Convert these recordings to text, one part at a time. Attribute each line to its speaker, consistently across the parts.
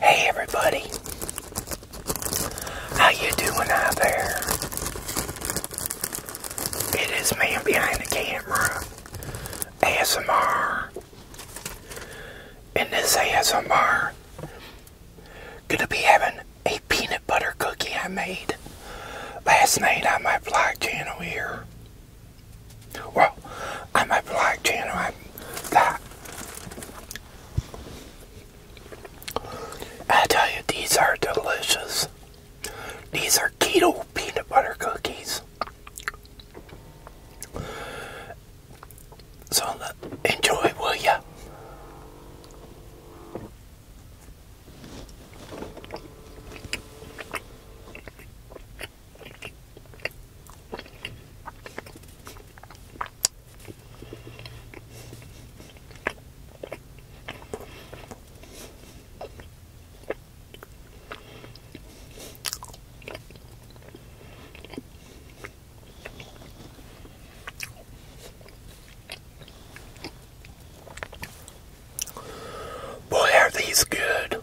Speaker 1: Hey everybody. How you doing out there? It is man behind the camera. ASMR. In this ASMR, gonna be having a peanut butter cookie I made last night on my vlog channel here. Well, I'm obliged to interrupt that. I tell you, these are delicious. These are keto peanut butter cookies. So enjoy, will ya? Boy, are these good.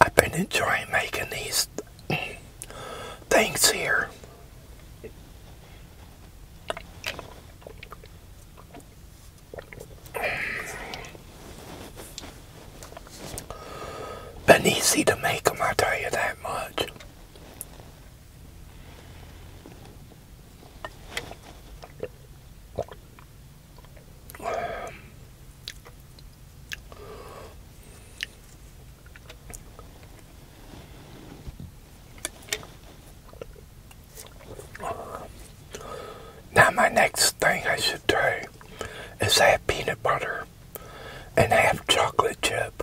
Speaker 1: I've been enjoying making these things here. Been easy to make them, I tell you that much. Now, my next thing I should try is have peanut butter and have chocolate chip.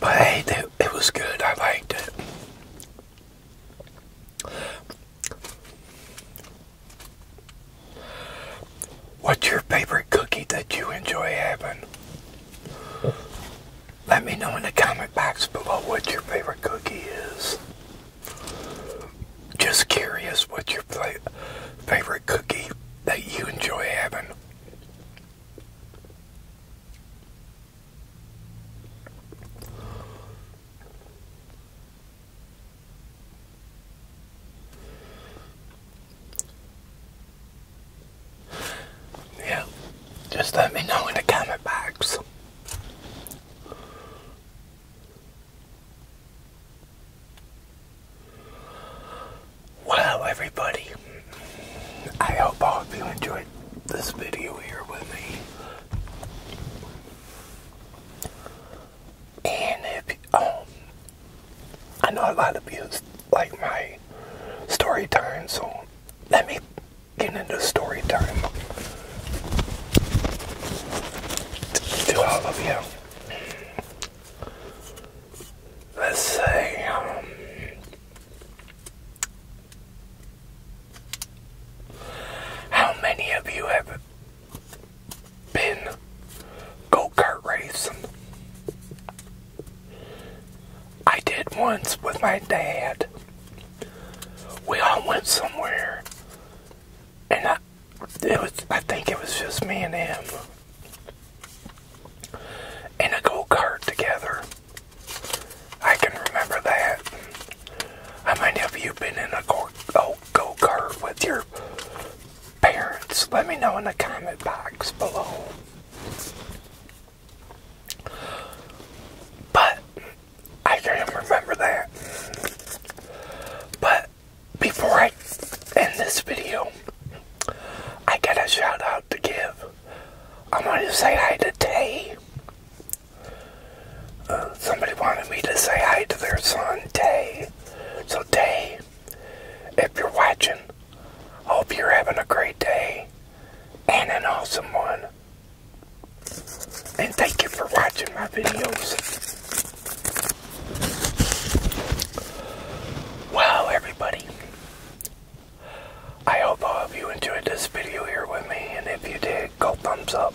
Speaker 1: But hey, it, was good. I liked it. What's your favorite cookie that you enjoy having? Let me know in the comment box below what your favorite cookie is. Just curious what your favorite cookie that you enjoy having. Yeah, just let me know in the comment box. Wow, everybody, I hope all of you enjoyed this video here with me. And if, um, I know a lot of you like my story time, so let me get into story time to all of you let's see. how many of you have been go kart racing? I did once with my dad. We all went somewhere, and I, it was I think it was just me and him in a go-kart together. I can remember that. How many of you been in a oh, go-kart with your parents? Let me know in the comment box below. But I can remember that. But before I end this video, I got a shout out to give. I am going to say hi to Tay. Uh, somebody wanted me to say hi to their son, Tay. So, Tay, if you're watching, hope you're having a great day and an awesome one. And thank you for watching my videos. Wow, everybody. I hope all of you enjoyed this video here with me, and if you did, go thumbs up.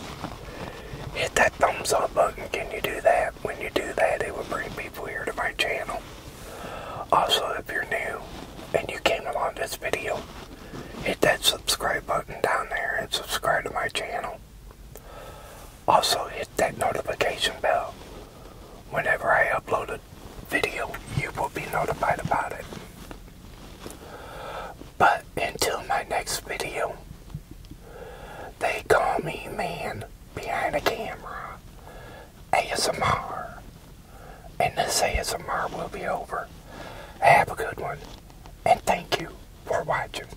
Speaker 1: Hit that thumbs up button. Can you do that? When you do that, it will bring people here to my channel. Also, if you're new and you came along this video, hit that subscribe button down there and subscribe to my channel. Also, hit that notification bell. Whenever I upload a video, you will be notified about it. But until my next video, they call me man behind the camera, ASMR. And this ASMR will be over. Have a good one, and thank you for watching.